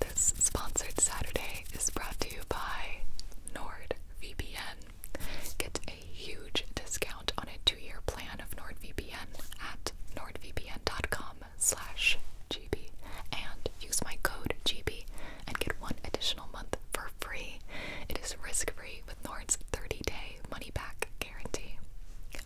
This sponsored Saturday is brought to you by NordVPN. Get a huge discount on a two-year plan of NordVPN at nordvpn.com/gb, and use my code GB and get one additional month for free. It is risk-free with Nord's 30-day money-back guarantee.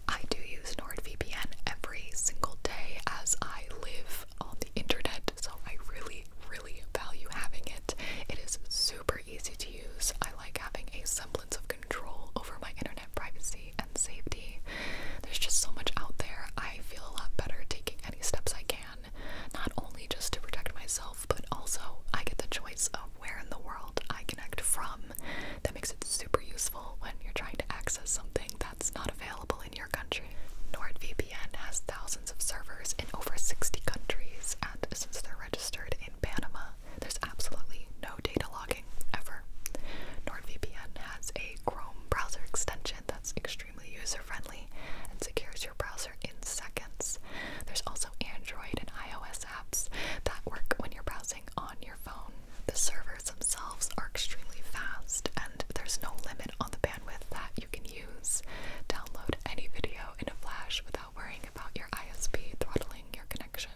I do use NordVPN every single day as I live on the internet, so I really, really value having it. It is super easy to use. I like having a semblance of control over my internet privacy and safety. There's just so much out there. I feel a lot better taking any steps I can, not only just to protect myself, but also I get the choice of where in the world I connect from. That makes it super useful when you're trying to access something that that's not available in your country. NordVPN has thousands of servers in over 60 countries, and since they're registered in Panama, there's absolutely no data logging ever. NordVPN has a Chrome browser extension that's extremely user friendly and secures your browser in seconds. There's also Android and iOS apps that work when you're browsing on your phone. The servers themselves are extremely fast, and there's no limit on the bandwidth that you can use. Download any video in a flash without worrying about your ISP throttling your connection.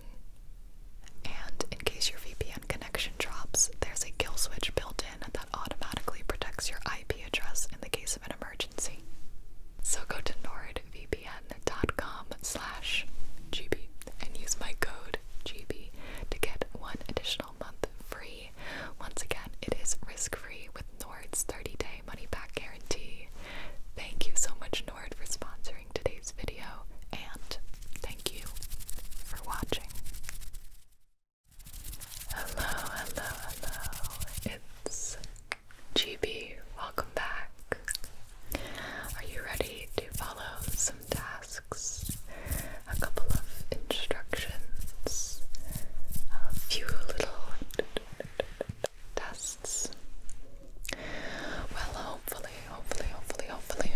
And in case your VPN connection drops, there's a kill switch built in that automatically protects your IP address in the case of an emergency. So go to nordvpn.com slash GB and use my code GB to get one additional month free. Once again, it is risk free with Nord's 30 day money back guarantee. Thank you so much, Nord, for sponsoring today's video, and thank you for watching. Hello, hello, hello. It's GB. Welcome back. Are you ready to follow tasks, a couple of instructions, a few little tests. Well, hopefully, hopefully, hopefully, hopefully,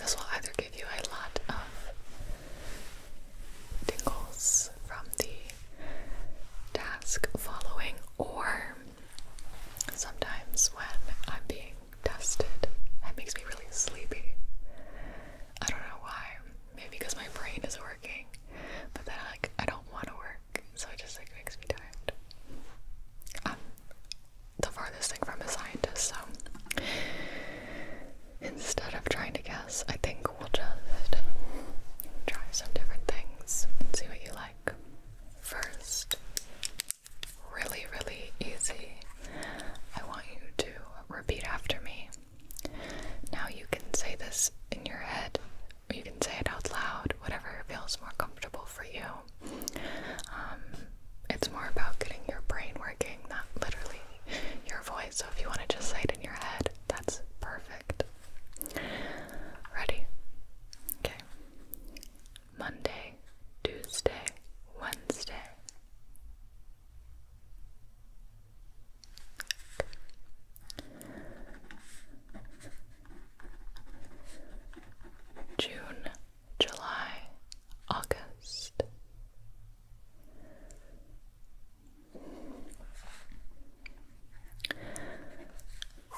this will either give you a lot of tingles from the task following, or sometimes when I'm being dusted. That makes me really sleepy. I don't know why. Maybe because my brain is working, but then like I don't want to work, so it just like makes me tired. I'm the farthest thing from a scientist, so instead of trying to guess, I think we'll just try some different things and see what you like. First, really, really easy. I want you to repeat after me. Now you can say this in your head, or you can say it out loud, whatever feels more comfortable for you. Um, it's more about getting your brain working, not literally your voice. So if you want to just say it in your head, that's perfect. Ready? Okay. Monday, Tuesday, Wednesday. June, July, August.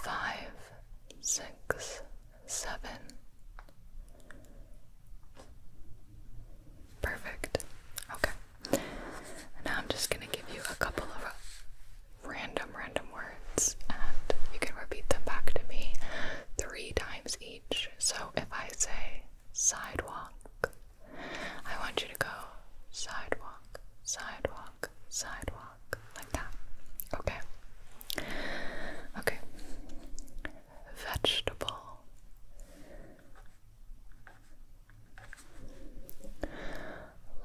Five, six, seven. Perfect. Okay. Now I'm just going to give you a couple of random, random words, and you can repeat them back to me three times each. So if I say sidewalk, I want you to go sidewalk, sidewalk, sidewalk, like that. Okay. Okay vegetable.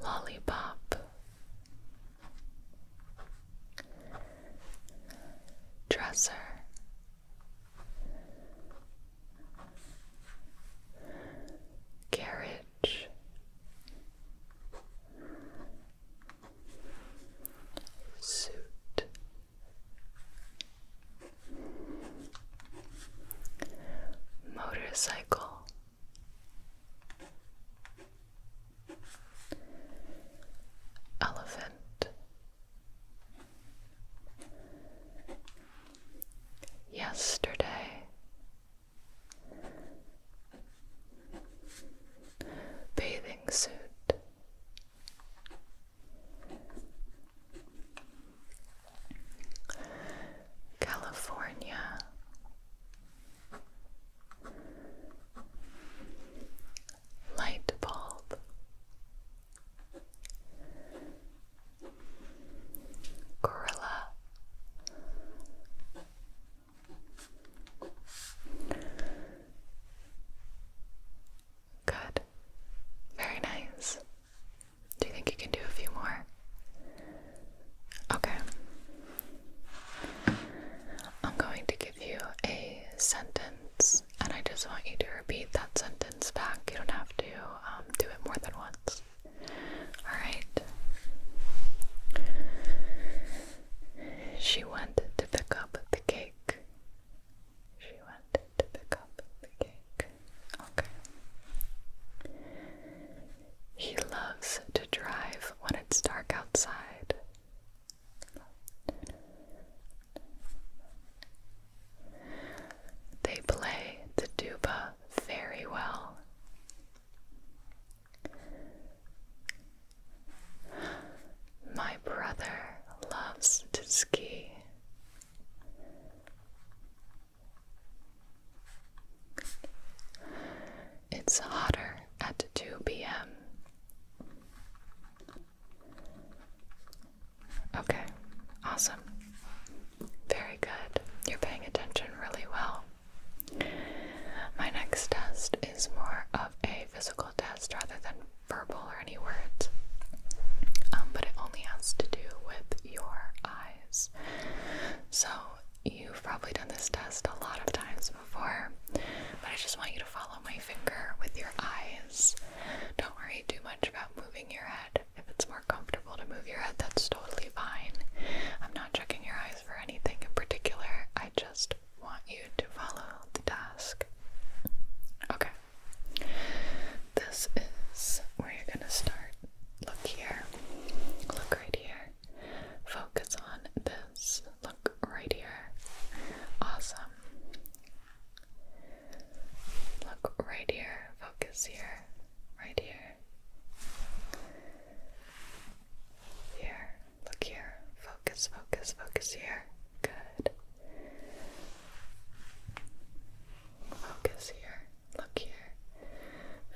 Lollipop. Dresser. Carriage. Suit. Motorcycle Elephant Yesterday Bathing suit California, light bulb, gorilla, Good. Very nice. Do you think you can do a few more? Okay. I'm going to give you a sentence, and I just want you to repeat that sentence back. You don't have to um, do it more than once. Alright. She went to pick up the cake. She wanted to pick up the cake. Okay. He loves to drive when it's dark outside. They play the tuba very well. My brother loves to ski. It's hotter at 2 p.m. Okay, awesome. Very good. You're paying attention really well. My next test is more of a physical test rather than verbal or any words. Um, but it only has to do with your eyes. So you've probably done this test a lot of times before, but I just want you to follow my finger with your eyes. Don't worry too much about moving your head. If it's more comfortable to move your head, that's totally fine. I'm not checking your eyes for anything in particular. I just want you to follow the task. Okay. This is where you're going to start. Look here. Look right here. Focus on this. Look right here. Awesome. Look right here. Focus here. Right here. Here. Look here. Focus, focus, focus here. Good. Focus here. Look here.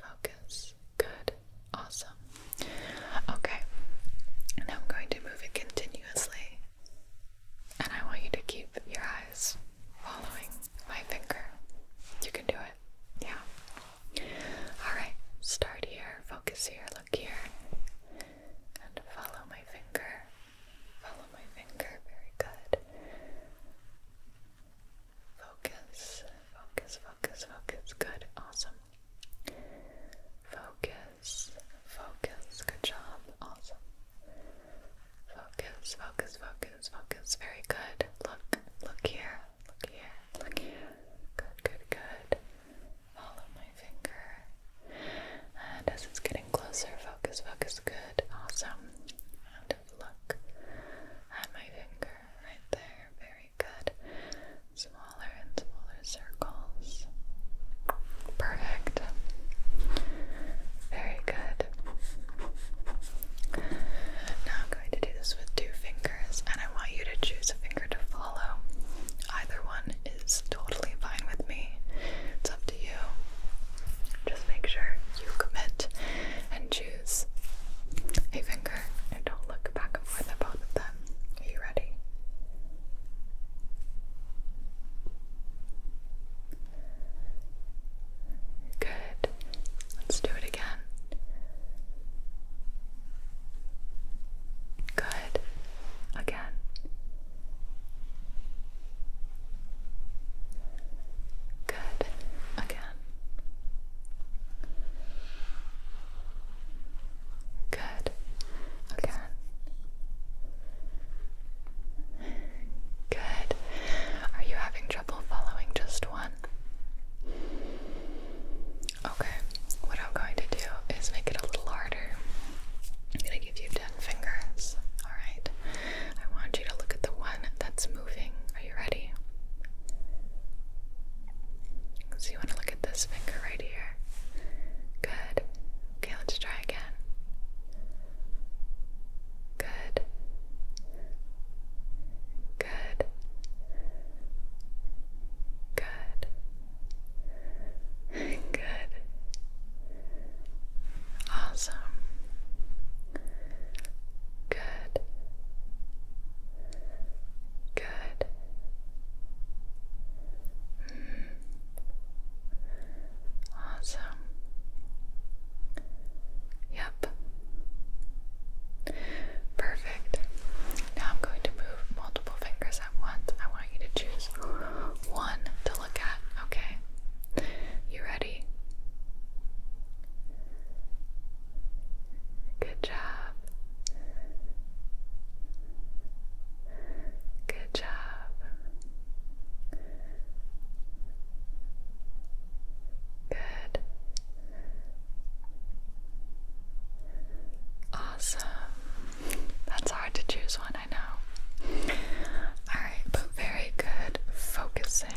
Focus. Good. Awesome. Okay. And I'm going to move it continuously. And I want you to keep your eyes following my finger. You can do it. Yeah. Alright. Start here. Focus here. Look here and follow my finger. Follow my finger. Very good. Focus, focus, focus, focus. Good. Awesome. Focus, focus. Good job. Awesome. Focus, focus, focus, focus. Very good. Look, look here, look here, look here. Good, good, good. Follow my finger. And as it's getting closer, focus, focus, good, awesome. And look at my finger right there. Very good. Smaller and smaller circles. Perfect. Very good. Now I'm going to do this with two fingers, and I want you to choose a finger to follow. Either one is totally fine with me. It's up to you. Just make sure you commit and choose a finger and don't look back and forth at both of them. Are you ready? Good. Let's do it again. Good again. Good again. Good again. Good. Are you having trouble following just one? Okay, what I'm going to do is make it a little harder. I'm going to give you 10 fingers. Alright, I want you to look at the one that's moving. Are you ready? So, you want to look at this finger right here. Good. Okay, let's try again. Good. Good. Good. Good. Awesome. Good. Good. Hmm. Awesome. Yep. Perfect. Now I'm going to move multiple fingers at once. I want you to choose one to look at, okay? You ready? Good job. Good job. Good. Awesome. That's hard to choose one, I know. Alright, very good focusing.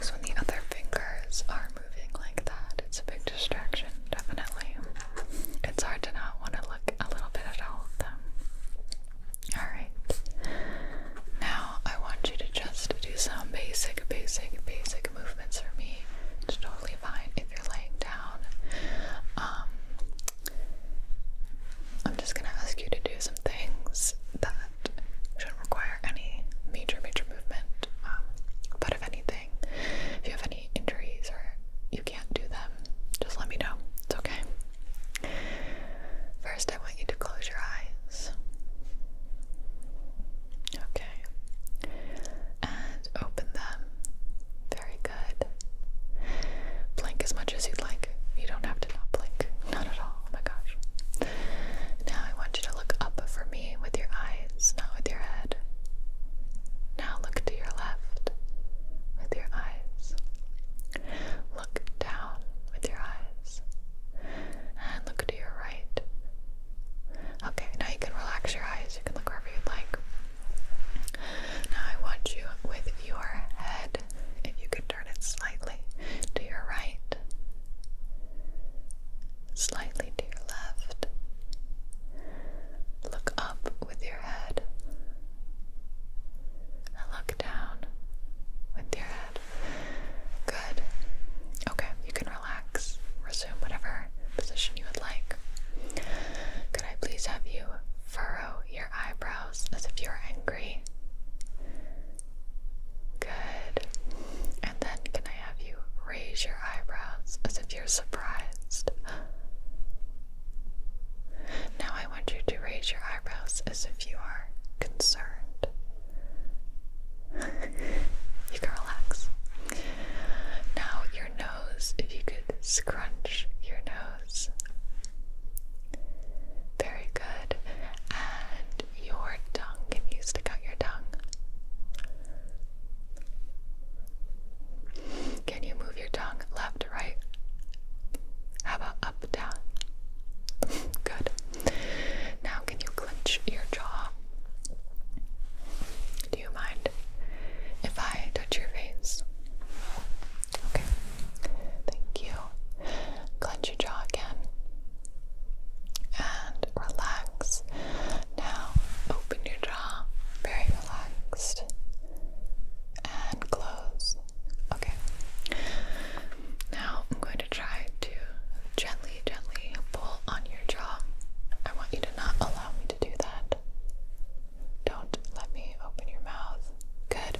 So when the other fingers are moving like that, it's a big distraction, definitely. It's hard to not want to look a little bit at all of them. Alright. Now I want you to just do some basic, basic, basic movements for me totally fine if you're laying down. Um, I'm just gonna ask you to do some things that shouldn't require any major, major movement. Um, but if anything, if you have any injuries or you can't do them, just let me know. It's okay. First, I want you to close your eyes. Okay. And open them. Very good. Blink as much as you'd like. You don't have to not blink. Not at all. Oh my gosh. Now I want you to look up for me with your eyes, not with your head. Now look to your left with your eyes. Look down with your eyes. And look to your right Okay, now you can relax your eyes. You can look wherever you'd like. Now I want you with your head, if you could turn it slightly to your right, slightly to your left. Look up with your head. And look down with your head. Good. Okay, you can relax whatever position you would like. Could I please have you furrow your eyebrows as if you're angry? Good. And then can I have you raise your eyebrows as if you're surprised? Now I want you to raise your eyebrows as if you are concerned. you can relax. Now, your nose, if you could scrunch your nose. Very good. And your tongue, can you stick out your tongue? Can you move your tongue left right? How about up, down? Good. Now, can you clench your jaw? Do you mind if I touch your face? Okay. Thank you. Clench your jaw again. And relax. Now open your jaw. Very relaxed. And close. Okay. Now I'm going to try to gently gently, pull on your jaw. I want you to not allow me to do that. Don't let me open your mouth. Good.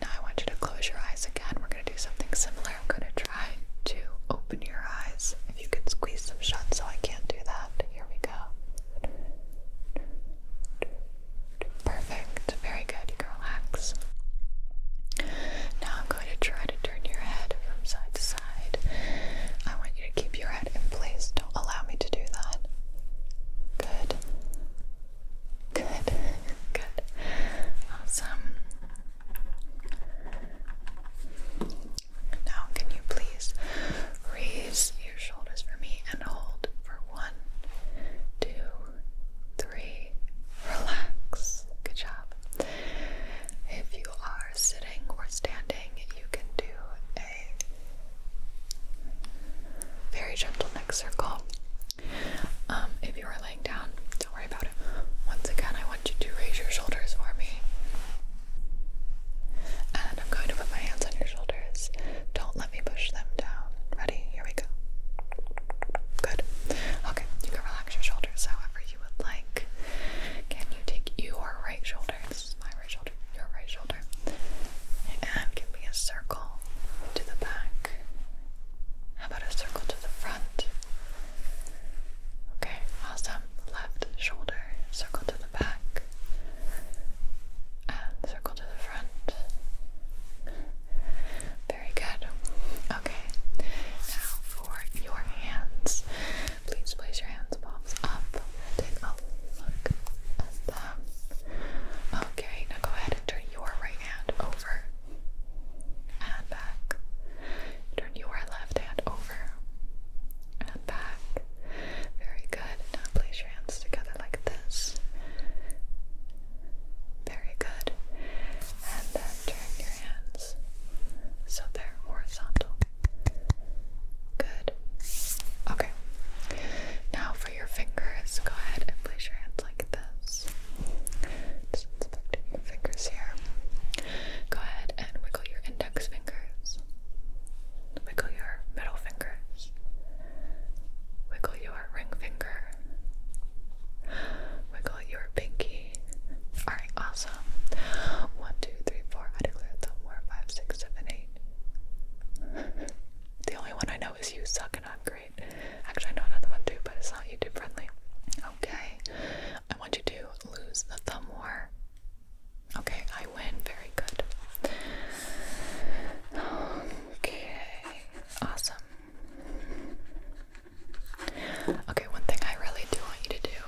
Now I want you to close your eyes again. We're going to do something similar. I'm going to try to open your eyes. If you could squeeze them shut so I can't do that. Here we go. Perfect. Very good. You can relax. Now I'm going to try to turn your head from side to side. I want you to keep your head in place. Don't allow me to do that. Good. Good. Good. Awesome. Now, can you please raise your shoulders for me and hold for one, two, three. Relax. Good job. If you are sitting or standing, you can do a very gentle neck circle. Um, if you are laying down, don't worry about it. Once again, I want you to raise your shoulders for me. And I'm going to put my hands on your shoulders. Don't let me push them down. Ready? Here we go. Good. Okay, you can relax your shoulders however you you would like. Can you take your right shoulder? This is my right shoulder, your right shoulder. And give me a circle to the back. How about a circle to the front? Okay, awesome. Left shoulder, circle to the back, and circle to the front. Very good. Okay, now for your hands. Please place your hands palms up. Take look at them. Okay, now go ahead and turn your right hand over and back. Turn your left hand over and back. Very good. Now place your hands together like this. Very good and then turn your hands so they're horizontal. Good. Okay. Now for your fingers, go ahead and place your hands like this. Just inspecting your fingers here. Go ahead and wiggle your index fingers. Wiggle your middle fingers. Wiggle your ring finger. Wiggle your pinky. Alright, awesome. 1, I declare the war. 5, the only one I know is you suck and i great. Actually, I know another one too, but it's not YouTube friendly. Okay. I want you to lose the thumb war. Okay, I win. Very good. Okay. Awesome. Okay, one thing I really do want you to do,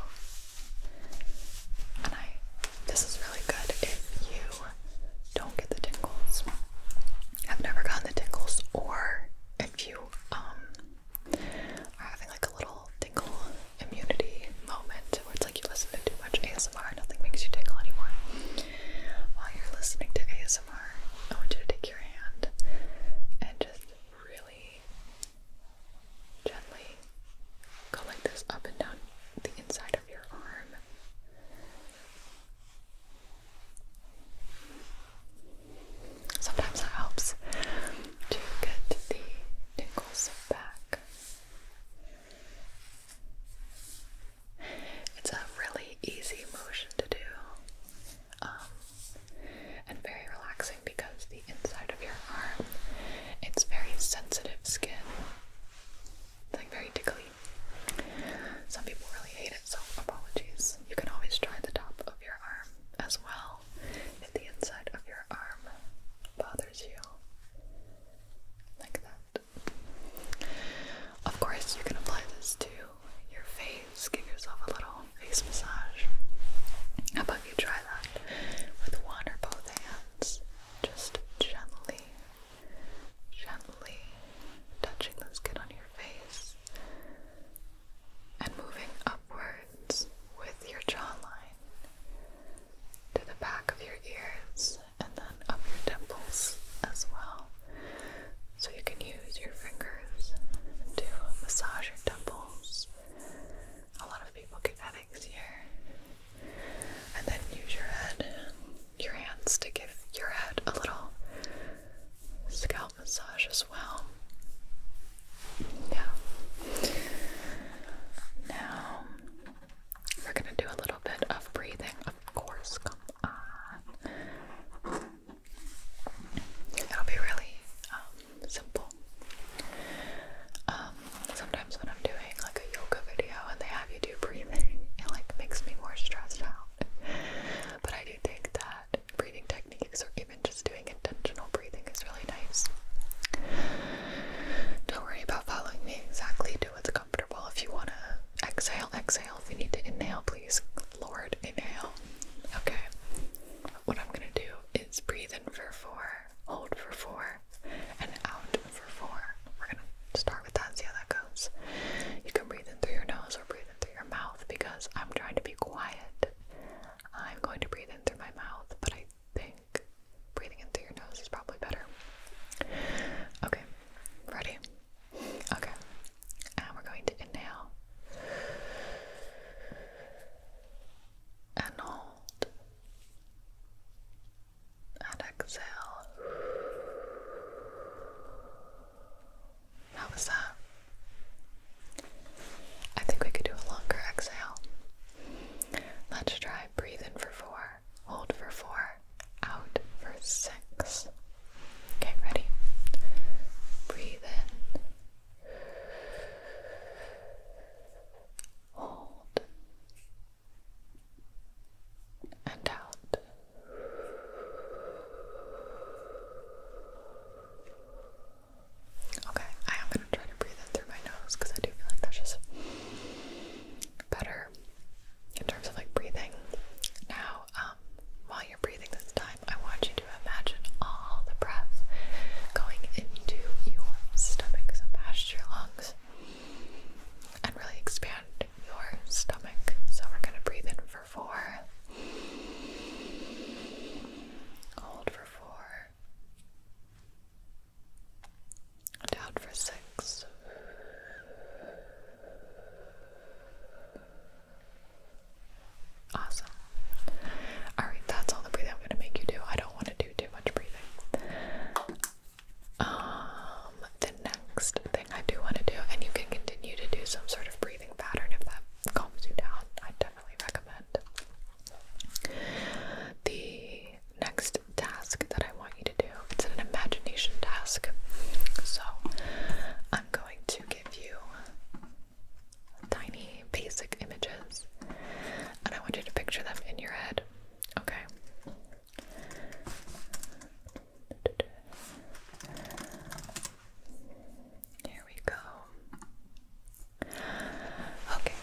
and I this is really good if you don't get the tingles. I've never gotten the tingles, or if you um are having like a little tingle immunity moment where it's like you listen to too much ASMR, nothing makes you tingle anymore. While you're listening to ASMR, I want you to take your hand and just really Gently go this up and down the inside of your arm. Sometimes that helps to get the tingles back. It's a really easy motion to do. Um, and very relaxing because the inside of your arm, it's very sensitive skin. It's like very tickly. Some people really hate it, so apologies. You can always try the top of your arm as well if the inside of your arm bothers you. Like that. Of course, you can apply this to your face face. Give yourself a little face massage. How about you try that with one or both hands? Just gently, gently touching the skin on your face and moving upwards with your jawline to the back of your ears and then up your temples as well. So you can use your fingers to massage your temples. A lot of people get headaches here. And then use your head, your hands to give your head a little scalp massage as well. Yeah. Now we're gonna do a little bit of breathing, of course. Come on. It'll be really um, simple. Um, sometimes when I'm doing like a yoga video and they have you do breathing, it like makes me more stressed out. But I do think that breathing techniques or even just doing intentional breathing is really nice. Don't worry about following me exactly. Do what's comfortable. If you want to exhale, exhale. If you need to inhale, please, Lord, inhale. Okay what I'm gonna do is breathe in for four, hold for four, and out for four. We're gonna start with that see how that goes. You can breathe in through your nose or breathe in through your mouth because I'm trying to be quiet. I'm going to breathe in through my mouth, but I think breathing in through your nose is probably better. Okay, ready? Okay, and we're going to inhale and hold and exhale. How was that? I think we could do a longer exhale. Let's try breathe in for four, hold for four, out for six. Okay, ready? Breathe in Hold and out. Okay, I am going to try to breathe through my nose because I do feel like that's just better in terms of like breathing. Now, um, um, while you're breathing this time, I want you to imagine all the breath going into your stomach. So past your lungs and really expand your stomach. So we're going to breathe in for four, hold for four, and out for six. Awesome. Alright, that's all the breathing I'm gonna make you do. I don't want to do too much breathing. Um, the next thing I do want to do, and you can continue to do some sort of breathing pattern if that calms you down. I definitely recommend. The next task that I want you to do, it's an imagination task. So I'm going to give you tiny basic images and I want you to picture them in your head. Okay. Here we go. Okay.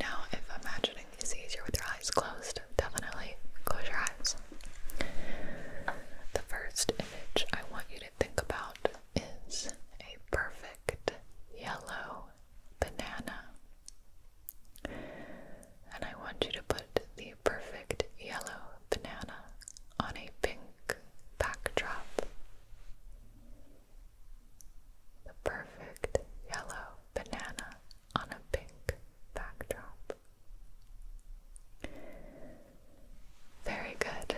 Now, if imagining is easier with your eyes closed, definitely close your eyes. The first image I want you to think about is a perfect yellow banana. And I want you to put the perfect yellow banana on a pink backdrop. The perfect yellow banana on a pink backdrop. Very good.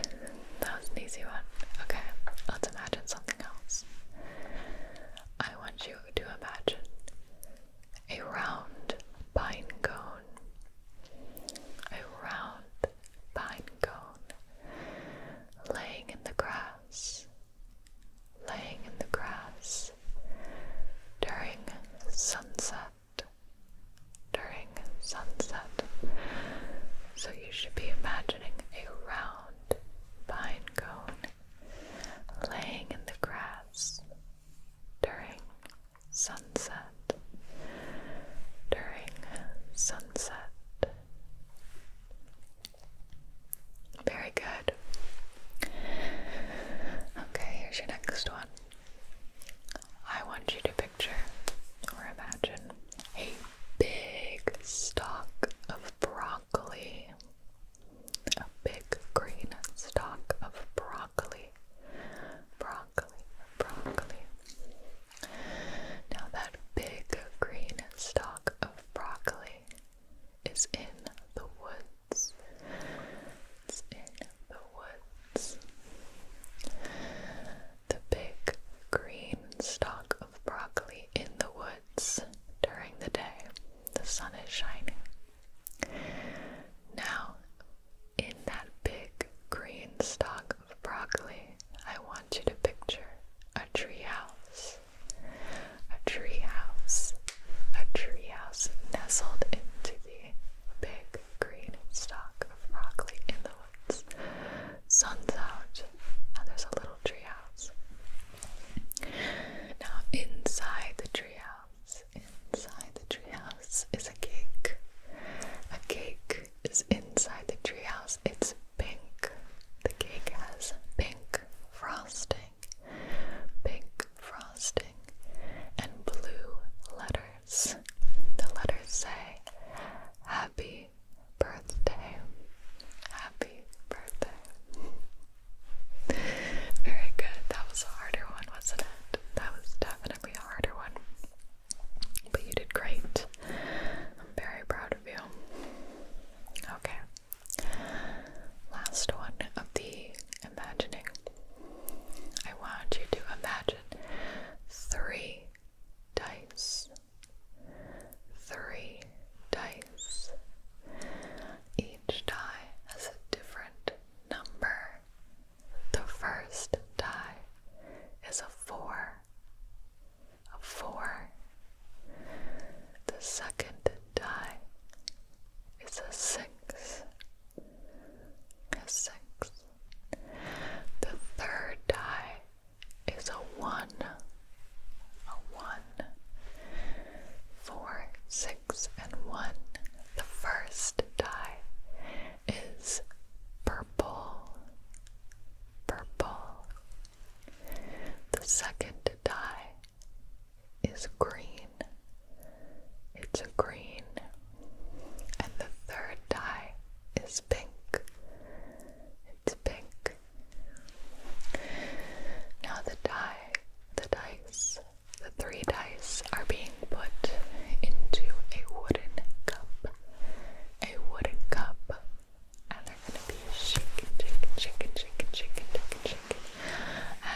That was an easy one. Okay, let's imagine something else. I want you to imagine a round pine cone. A round pine cone laying in the grass, laying in the grass during sunset during sunset. So you should be imagining a round pine laying in the grass during sunset. During sunset. Very good. Okay, here's your next one. I want you to picture or imagine a big stalk of broccoli. A big green stalk of broccoli. Broccoli, broccoli. Now, that big green stalk of broccoli is in the woods. It's in the woods the big green stalk of broccoli in the woods during the day. The sun is shining. Now, in that big green stalk of broccoli, I want you to picture a tree house. A treehouse. A treehouse nestled into the big green stalk of broccoli in the woods. Sun's out, and there's a little treehouse. Now, inside the treehouse, inside the treehouse is a cake. A cake is inside the treehouse. It's pink. The cake has pink frosting, pink frosting, and blue letters. The letters say happy birthday. Happy birthday. Very good. That was a harder one, wasn't it? That was definitely a harder one. But you did great. I'm very proud of you. Okay. Last one of the imagining I want you to imagine three dice, three dice. Each die has a different number. The first die is a four, a four. The second die is a six, a six. The third die is a one, a one, four, six, and one. The first die is purple, purple. The second die is green. It's a green and the third dye is pink. It's pink. Now the die, the dice, the three dice are being put into a wooden cup. A wooden cup. And they're gonna be shaken, shaken, shaken, shaken, shaken, shaken, shaken,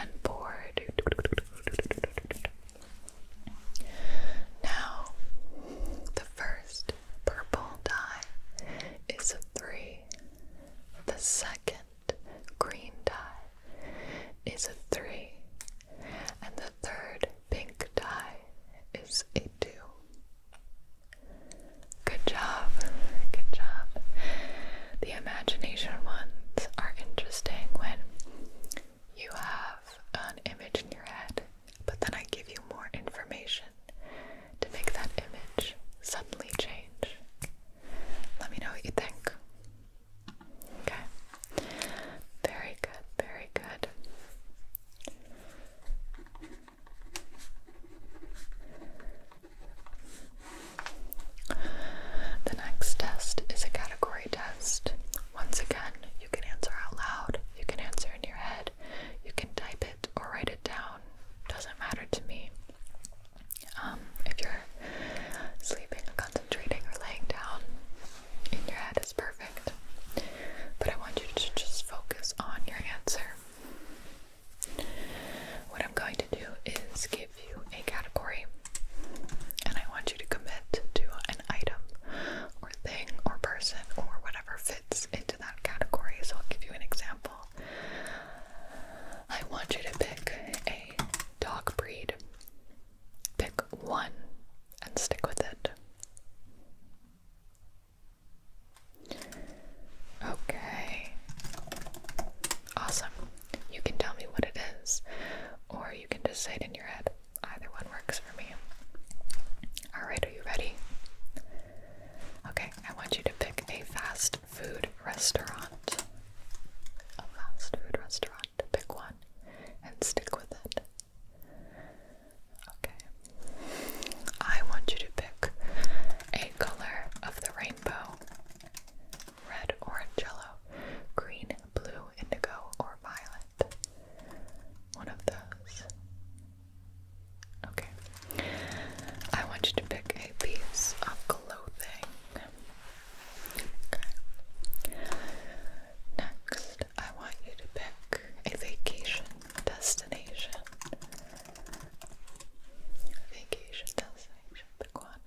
and poured now, the first purple dye is a 3. The second green dye is a 3. And the third pink dye is a 2. Good job. Good job. The imagination ones are interesting when you have an image in your head, but then I give you more information to make that image suddenly change. Let me know what you think. Okay. Very good, very good. The next test is a category test once again, you can answer out loud, you can answer in your head, you can type it or write it down. Doesn't matter to me. Um, if you're sleeping or concentrating or laying down, in your head is perfect. But I want you to just focus on your answer. What I'm going to do is give you a category and I want you to commit to an item or thing or person or whatever fits into that category. So I'll give you an example. I want you to pick a dog breed. Pick one and stick with it. Okay. Awesome. You can tell me what it is, or you can just say it in your head. Either one works for me. Alright, are you ready? Okay, I want you to pick a fast food restaurant. A fast food restaurant. Pick one and stick with it. Okay. I want you to pick a color of the rainbow red, orange, yellow, green, blue, indigo, or violet. One of those. Okay. I want you to pick a piece of clothing. Okay. Next, I want you to pick a vacation destination. Vacation destination, pick one.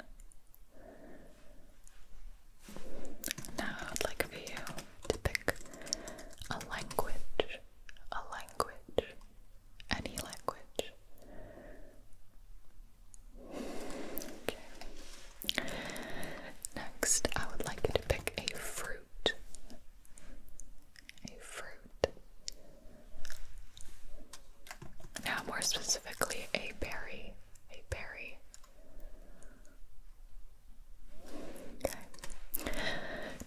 Now I'd like for you to pick a language, a language, any language. Okay. Next, I would like you to pick a fruit. A fruit. Now, more specifically, a berry. A berry. Okay.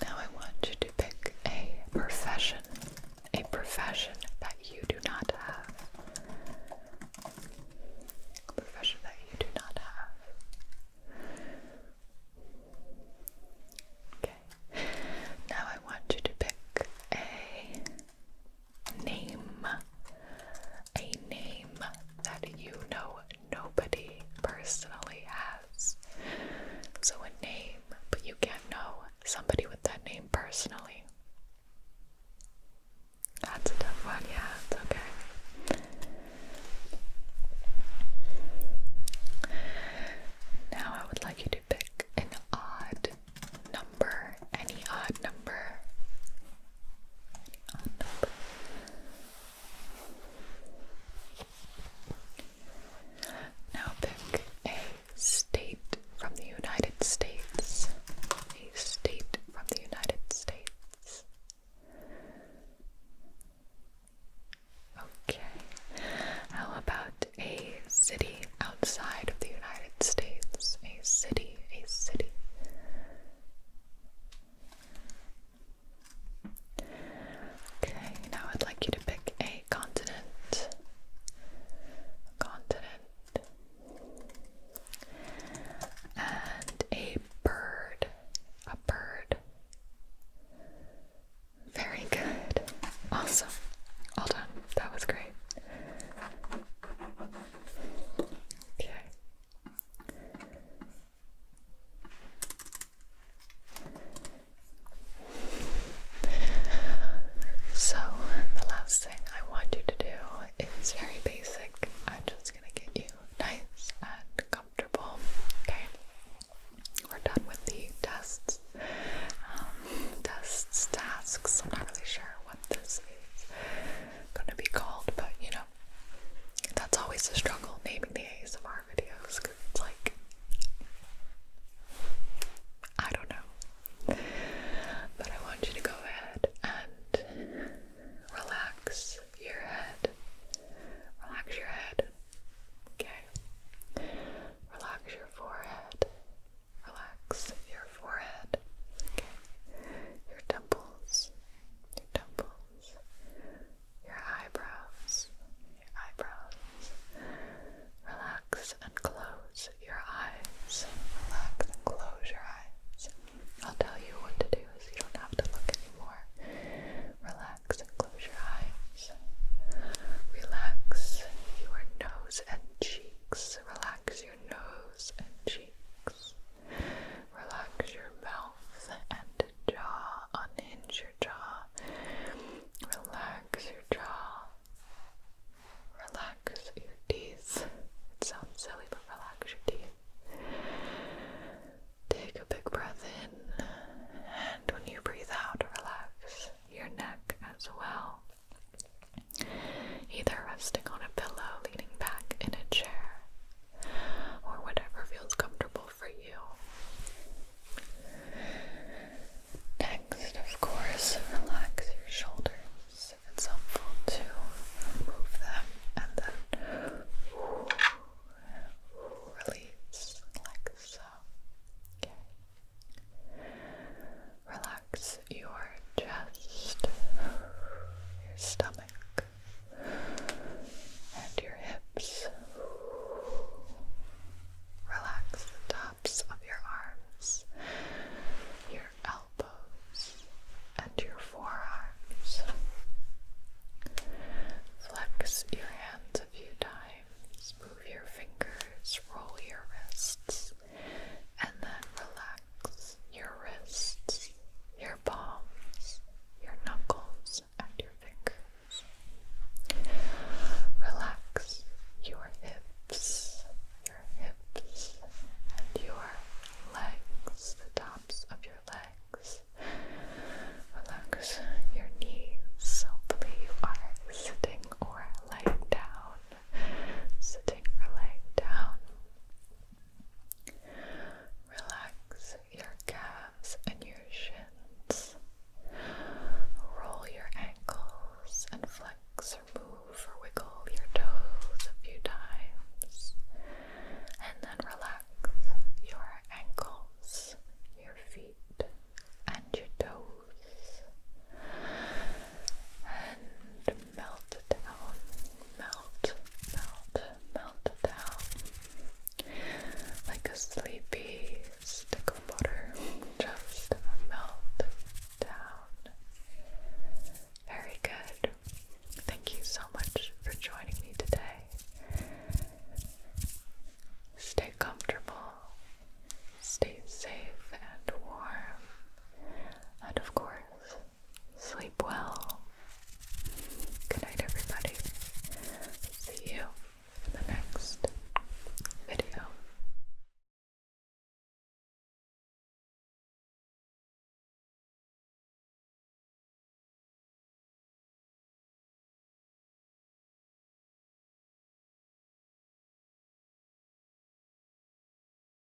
Now I want you to pick a profession, a profession that you do not have. A profession that you do not have. Okay. Now I want you to pick a name. A name that you know nobody personally has. So, a name, but you can't know somebody with that name personally. That's a tough one, yeah, it's okay. Now, I would like you to pick an odd number, any odd number now pick a state from the United States. A state from the United States. Okay. How about a city outside of the United States? A city, a city. Okay, now I'd like you to pick a continent. Continent. And a bird. A bird. Very good. Awesome. All done. That was great. Okay. So, the last thing I want you to do is very basic. I'm just gonna get you nice and comfortable. Okay, we're done with the tests. Um, tests, tasks. I'm not really sure what this is gonna be called, but you know, that's always a struggle naming the ASMR videos because it's like, I don't know. But I want you to go ahead and relax your head. Relax your head. Okay. Relax your forehead. Relax your your forehead, your temples, your temples, your eyebrows, your eyebrows. Relax and close your eyes. Relax and close your eyes. I'll tell you what to do so you don't have to look anymore. Relax and close your eyes. Relax your nose and cheeks. Relax your nose and cheeks. Relax your mouth and jaw. Unhinge your jaw. Relax your jaw. Relax your teeth. It sounds silly, but relax your teeth. Take a big breath in, and when you breathe out, relax your neck as well either resting on a pillow, leaning back in a chair, or whatever feels comfortable for you. Next, of course, relax your shoulders. It's helpful to remove them and then release like so. Okay. Relax relax your chest, your stomach, and your hips. Relax the tops of your arms, your elbows, and your forearms. Flex your hands a few times, move your fingers, roll your wrists, and then relax your wrists, your palms, your knuckles, and your fingers. Relax your hips, your hips, and your legs, the tops of your legs. Relax your knees. Hopefully, you are sitting or lying down. Sitting or lying down. Relax your calves and your shins. Roll your ankles and flex or move or wiggle your toes a few times. And then relax your ankles, your feet, and your toes it melted down, melt, melt, melt down like a sleepy stick of butter, just melt down. Very good. Thank you so much for joining me today. Stay comfortable, stay safe and warm, and of course, Sleep well. Good night, everybody. See you in the next video.